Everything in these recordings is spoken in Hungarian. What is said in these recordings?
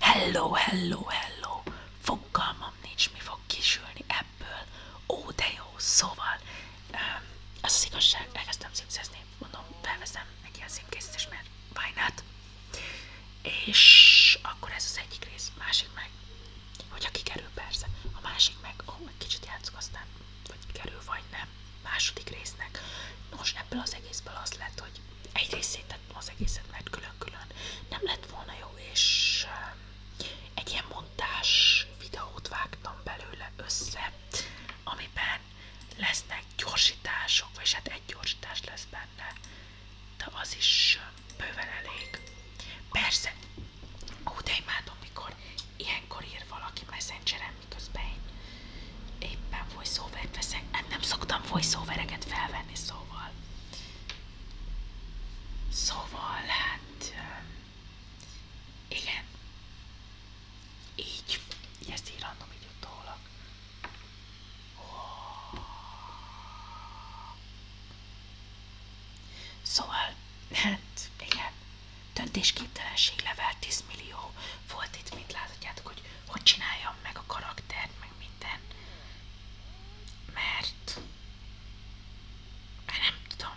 Hello, hello, hello! Fogalmam nincs, mi fog kisülni ebből. Ó, de jó! Szóval, az az igazság, elkezdtem szimszezni, mondom, felveszem egy ilyen szimkészítést, mert why not? És akkor ez az egyik rész, másik meg, hogyha kikerül persze, a másik meg, ó, egy kicsit játszok aztán, vagy kikerül, vagy nem, második résznek. Nos, ebből az egészből az lett, hogy egyrészt szétettem az egészet, mert külön-külön nem lett volna jó, és um, egy ilyen montás videót vágtam belőle össze, amiben lesznek gyorsítások, vagy hát egy gyorsítás lesz benne, de az is um, bőven elég. Persze, ó, de imádom, mikor ilyenkor ír valaki messengeren, miközben én éppen voiceovert veszek, hát nem szoktam voiceovereket felvenni, szóval. Szóval, hát, igen, így, így ezt így random így utólag. Szóval, hát, igen, döntésképtelenség level 10 millió, volt itt, mint láthatjátok, hogy hogy csináljam meg a karaktert, meg minden, mert nem tudom,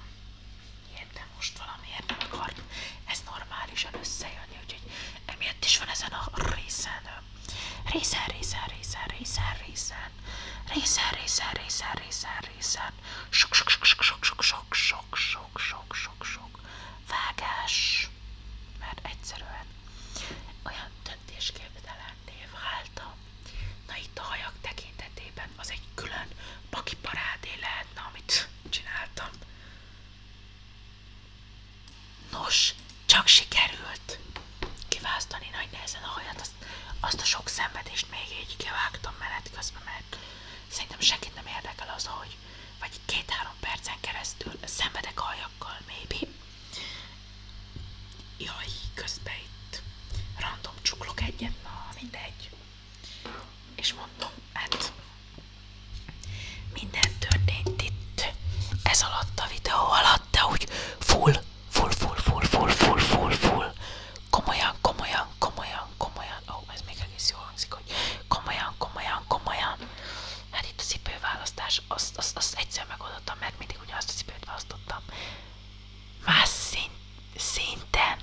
miért nem most valamiért nem akart ez normálisan összejönni, úgyhogy emiatt is van ezen a részen, részen, részen, részen, részen, részen, részen, részen, részen, részen, részen, sok, sok, sok, sok, sok, sok, sok, sok, sok, sok, sok, sok, vágás, is, mert egyszerűen olyan döntésképtelen váltam. Na itt a hajak tekintetében az egy külön paki parádé lehetne, amit csináltam. Nos, csak sikerült kiválasztani nagy nehezen a hajat, azt, azt a sok szenvedést még így kivágtam menet közben, mert szerintem senkit nem érdekel az, hogy vagy, vagy két-három percen keresztül szenvedek aljakkal, maybe. Jaj, közben itt random csuklok egyet, na mindegy. És mondom, hát minden történt itt ez alatt a videó alatt, de úgy full, full, full, full, full, full, full, full. Komolyan, komolyan, komolyan, komolyan. Ó, oh, ez még egész jól hangzik, hogy komolyan, komolyan, komolyan. Hát itt a cipőválasztás, azt, az az egyszer megoldottam, mert mindig azt a cipőt választottam. Más szín, szinten,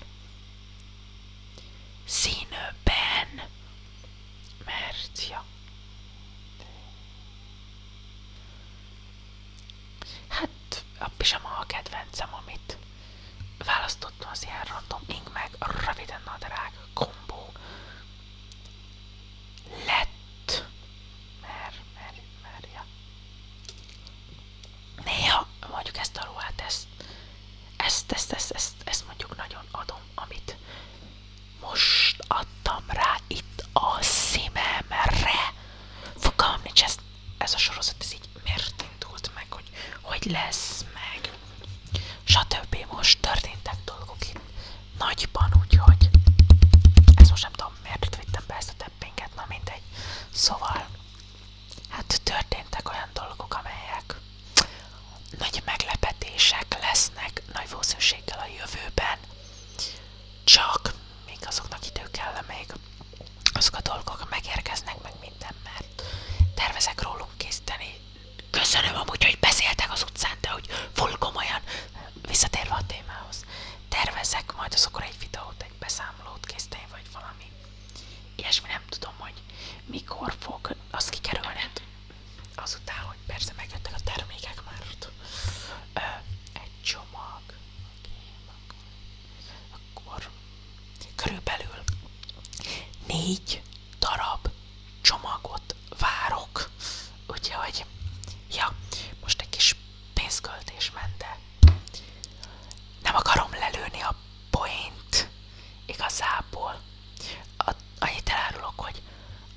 színben, mert, ja. Hát a pizsama a kedvencem, amit választottam az ilyen random ing meg röviden nadrág kombó lett. Mer, mer, merja. Néha mondjuk ezt a ruhát, ezt, ezt, ezt, ezt, ezt, ezt mondjuk nagyon adom, amit most adtam rá itt a szívemre. Fogalmam nincs, ez, ez a sorozat, ez így miért indult meg, hogy hogy lesz meg, stb. Most történtek dolgok itt nagyban, úgyhogy ezt most nem tudom, miért vittem be ezt a teppinket, na mindegy. Szóval, hát történtek olyan dolgok, amelyek nagy meglepetések lesznek nagy valószínűséggel a jövőben, csak még azoknak idő kell, még azok a dolgok megérkeznek, meg minden, mert tervezek róluk készíteni Köszönöm amúgy, hogy beszéltek az utcán, de hogy full komolyan. Visszatérve a témához. Tervezek majd azokra egy videót, egy beszámolót készíteni, vagy valami. Ilyesmi nem tudom, hogy mikor fog az kikerülned. Azután, hogy persze megjöttek a termékek már. egy csomag. akkor Körülbelül négy darab csomagot várok. Úgyhogy, ja, most egy kis pénzköltés mente. Nem akarom lelőni a point igazából. A, annyit elárulok, hogy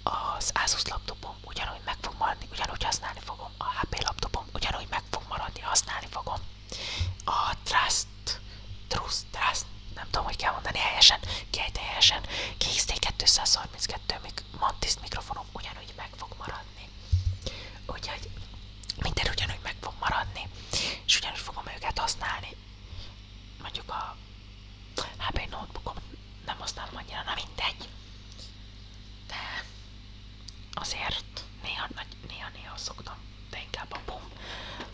az Asus laptopom ugyanúgy meg fog maradni, ugyanúgy használni fogom, a HP laptopom ugyanúgy meg fog maradni, használni fogom. A Trust, Trust, Trust, nem tudom, hogy kell mondani helyesen, kiejt helyesen, KXT232 Mantis mikrofonom ugyanúgy meg fog maradni. Úgyhogy minden ugyanúgy meg fog maradni, és ugyanúgy fogom őket használni. Mondjuk a HP notebookom nem használom annyira, na mindegy. De azért néha-néha szoktam de a pum.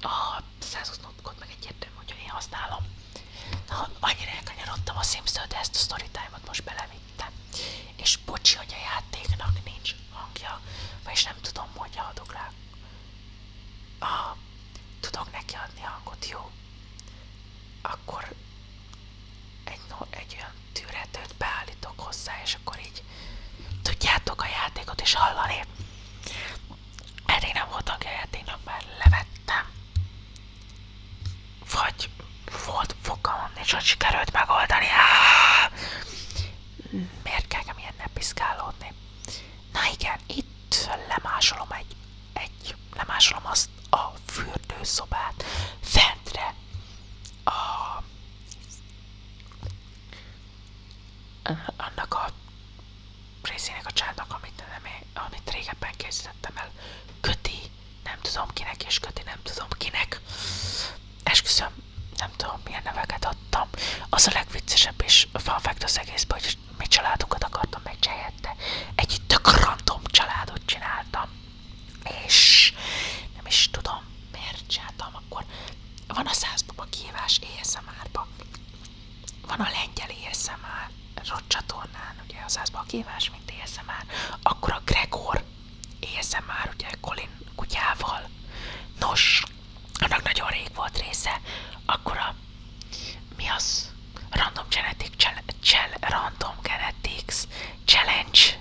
A 120-kod meg egyértelmű, hogy én használom. Na, annyira elkanyarodtam a sims de a storytime-ot most belevittem. És bocsi, hogy a játéknak nincs hangja, vagyis nem tudom, hogy adok rá. Ah, tudok neki hangot, jó? Akkor egy, no, egy olyan tűretőt beállítok hozzá, és akkor így tudjátok a játékot is hallani. Eddig nem volt tagja a játéknak, már levettem. Vagy volt fogalmam, nincs, hogy sikerült megoldani. Áááá! Miért kell ilyennel piszkálódni? Na igen, itt lemásolom egy, egy lemásolom azt a fürdőszobát fentre a annak a részének a csádnak, amit, nem, amit régebben készítettem el, köti, nem tudom kinek, és köti, nem tudom kinek. Esküszöm, nem tudom milyen neveket adtam. Az a legviccesebb és fanfekt az egészben, hogy mi családunkat akartam meg helyette. Egy tök random családot csináltam. És nem is tudom, miért csináltam akkor van a százbaba kihívás ASMR-ba, van a lengyel ASMR csatornán, ugye a százbaba kihívás, mint ASMR, akkor a Gregor ASMR, ugye Colin kutyával, nos, annak nagyon rég volt része, akkor a, mi az? Random Genetic Challenge, Random Genetics Challenge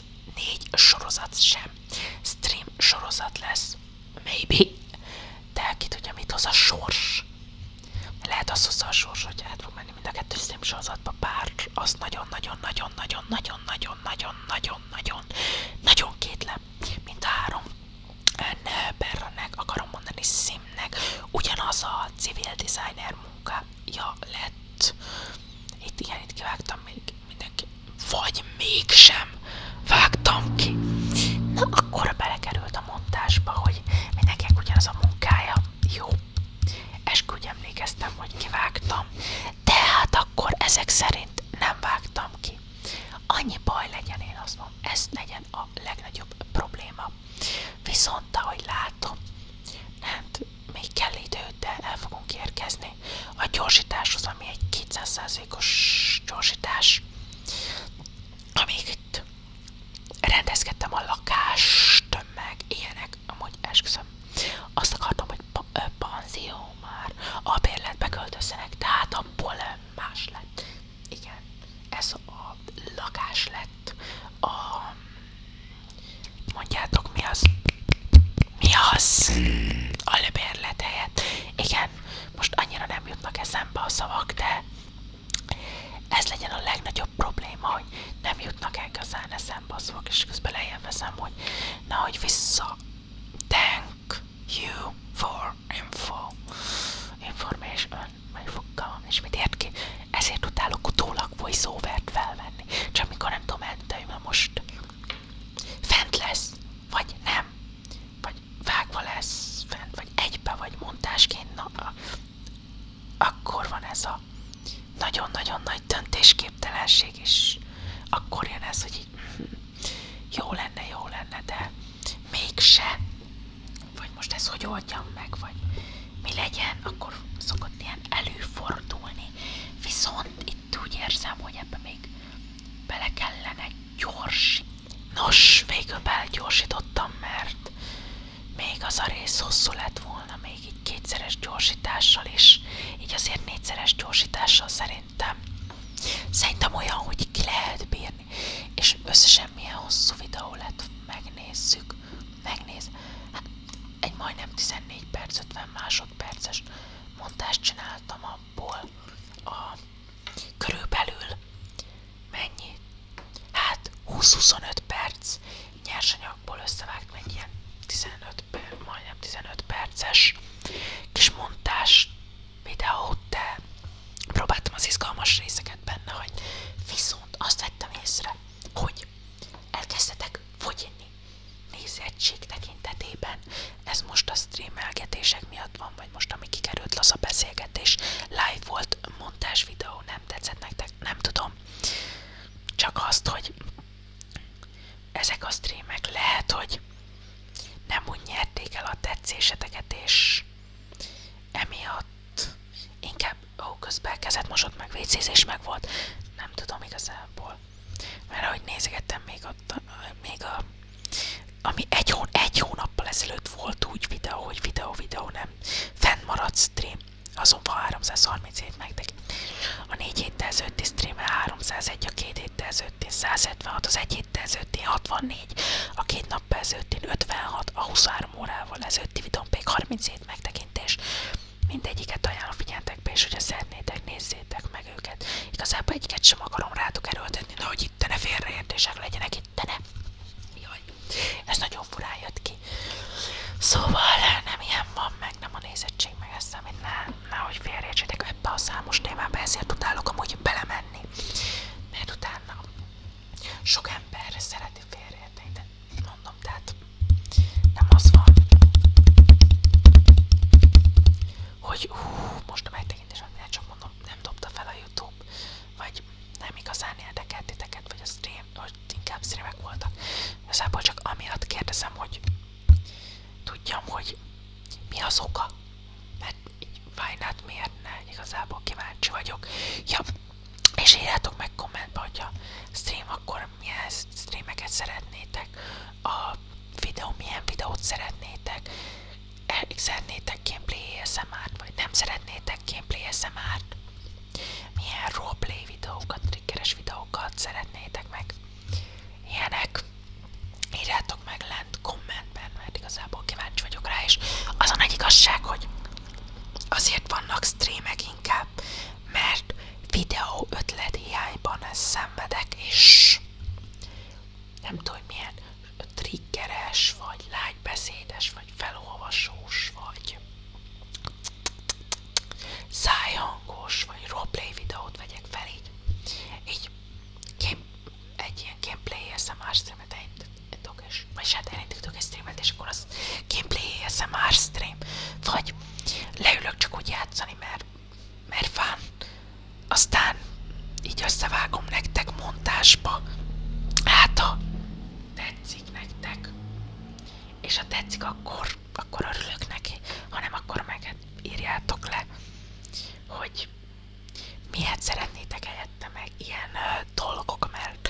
lesz négy sorozat sem. Stream sorozat lesz, maybe, de ki tudja mit hoz a sors. Lehet azt hozza a sors, hogy át fog menni mind a kettő stream sorozatba, bár azt nagyon-nagyon-nagyon-nagyon-nagyon-nagyon-nagyon-nagyon-nagyon-nagyon kétlem, mint a három. Berranek, akarom mondani Simnek, ugyanaz a civil designer munkája lett, itt igen, itt kivágtam még mindenki. Vagy mégsem vágtam ki. Na, akkor belekerült a montásba, hogy mindenkinek ugyanaz a munkája. Jó. Eskügy emlékeztem, hogy kivágtam. Tehát akkor ezek szerint nem vágtam ki. Annyi baj legyen, én azt mondom, ez legyen a legnagyobb probléma. Viszont ahogy látom, hát még kell idő, de el fogunk érkezni a gyorsításhoz, ami egy 200%-os gyorsítás, amíg itt rendezkedtem a lakást, meg ilyenek, amúgy esküszöm. Azt akartam, hogy pa, panzió már a bérletbe költözzenek, tehát abból más lett. Igen, ez a lakás lett a Mondjátok mi az? Mi az? A lebérlet helyett. Igen, most annyira nem jutnak eszembe a szavak, de ez legyen a legnagyobb probléma, hogy nem jutnak igazán eszembe a szavak, és közben lejjebb veszem, hogy na, hogy vissza. Thank you for info. Information. Majd fogalmam és mit ért ki. Ezért utálok utólag voice-overt felvenni. Csak mikor nem tudom elmondani, most Fent lesz, vagy nem, vagy vágva lesz fent, vagy egybe, vagy montásként, na, akkor van ez a nagyon-nagyon nagy döntésképtelenség, és akkor jön ez, hogy így, mhm, jó lenne, jó lenne, de mégse, vagy most ezt hogy oldjam meg, vagy mi legyen, akkor szokott ilyen előfordulni. Viszont itt úgy érzem, hogy ebbe még bele kellene gyors. Nos, végül belgyorsítottam, mert még az a rész hosszú lett volna, még így kétszeres gyorsítással is, így azért négyszeres gyorsítással szerintem. Szerintem olyan, hogy ki lehet bírni, és összesen milyen hosszú videó lett, megnézzük, megnéz. Hát egy majdnem 14 perc 50 másodperc másodperces mondást csináltam abból a körülbelül mennyi? Hát 20-25 perc nyersanyagból összevágtam egy ilyen 15, majdnem 15 perces kis montás videót, de próbáltam az izgalmas részeket benne hogy Viszont azt vettem észre, hogy elkezdtetek fogyni nézettség tekintetében. Ez most a streamelgetések miatt van, vagy most ami kikerült laza beszélgetés. Live volt montás videó, nem tetszett nektek, nem tudom. Csak azt, hogy ezek a streamek lehet, hogy nem úgy nyerték el a tetszéseteket, és emiatt inkább ó, közben kezet mosott, meg vécézés meg volt, nem tudom igazából. Mert ahogy nézegettem még, ott, még a, ami egy, hón, egy hónappal ezelőtt volt úgy videó, hogy videó-videó nem fennmaradt stream, azon van 337 megtek. A 4 héttel ezelőtti stream 301, a 2 héttel ezelőtti 176, az 1 héttel ezelőtti 64, a két nap ezelőtti 56, a 23 órával ezelőtti videón pedig 37 megtekintés. Mindegyiket ajánlom be és hogyha szeretnétek, nézzétek meg őket. Igazából egyiket sem akarom rátok erőltetni, de hogy itt ne félreértések legyenek, itt ne. Jaj, ez nagyon furán jött ki. Szóval nem ilyen van, meg nem a nézettség, meg ezt, amit ne, hogy félreértsétek ebbe a számos témába, ezért tudálok amúgy belemenni. Mert utána sok ember szereti félreérteni, de mondom, nem dobta fel a Youtube, vagy nem igazán érdekelt titeket, vagy a stream, vagy inkább streamek voltak. Igazából csak amiatt kérdezem, hogy tudjam, hogy mi az oka, mert hát miért ne, igazából kíváncsi vagyok. Ja, és írjátok meg kommentbe, hogy a stream akkor milyen streameket szeretnétek, a videó milyen videót szeretnétek, szeretnétek gameplay ASMR-t, vagy nem szeretnétek gameplay ASMR-t, milyen roleplay videókat, triggeres videókat szeretnétek meg, ilyenek. Írjátok meg lent kommentben, mert igazából kíváncsi vagyok rá, és azon egy igazság, hogy azért vannak streamek inkább, mert videó ötlet hiányban szenvedek, és nem tudom, hogy milyen triggeres, vagy lágybeszédes, vagy felolvasós, vagy szájhangos, vagy roleplay videót vegyek fel így. Így egy ilyen gameplay SMR streamet, egy TikTokos, vagy hát én TikTokos streamet, és akkor az gameplay ASMR stream, vagy leülök csak úgy játszani, mert, mert fán, aztán így összevágom nektek montásba, hát a tetszik nektek, és ha tetszik, akkor, akkor örülök neki, hanem akkor meg hát írjátok le, hogy miért szeretnétek helyette meg ilyen uh, dolgok, mert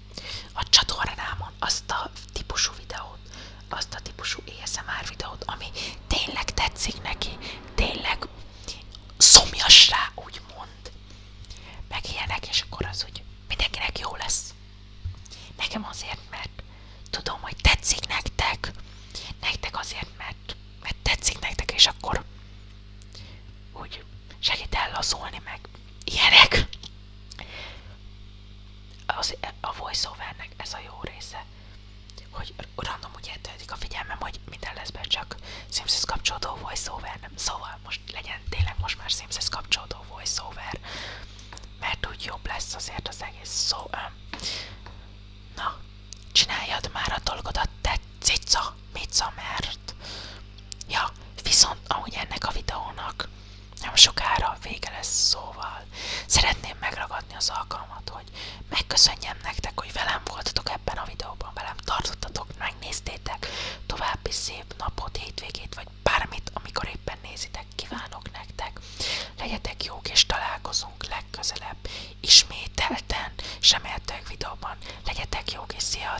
a csatornámon azt a típusú videót, azt a típusú ASMR videót, ami tényleg tetszik neki, tényleg szomjas rá, mond, meg ilyenek, és akkor az úgy mindenkinek jó lesz. Nekem azért, mert tudom, hogy tetszik nektek, nektek azért, mert, mert tetszik nektek, és akkor úgy segít ellazulni, meg ilyenek. Az, a voiceovernek ez a jó része, hogy random úgy eltöltik a figyelmem, hogy minden lesz be csak Simpsons kapcsolódó voiceover, nem? Szóval most legyen tényleg most már Simpsons kapcsolódó voiceover, mert úgy jobb lesz azért az egész szó. Um, na, csináljad már a dolgodat, te cica, mica, mert Ja, viszont ahogy ennek a videónak nem sokára vége lesz szóval, szeretném megragadni az alkalmat, hogy megköszönjem nektek, hogy velem voltatok ebben a videóban, velem tartottatok, megnéztétek, további szép napot, hétvégét, vagy bármit, amikor éppen nézitek, kívánok nektek. Legyetek jók, és találkozunk legközelebb ismételten, sem videóban. Legyetek jók, és szia,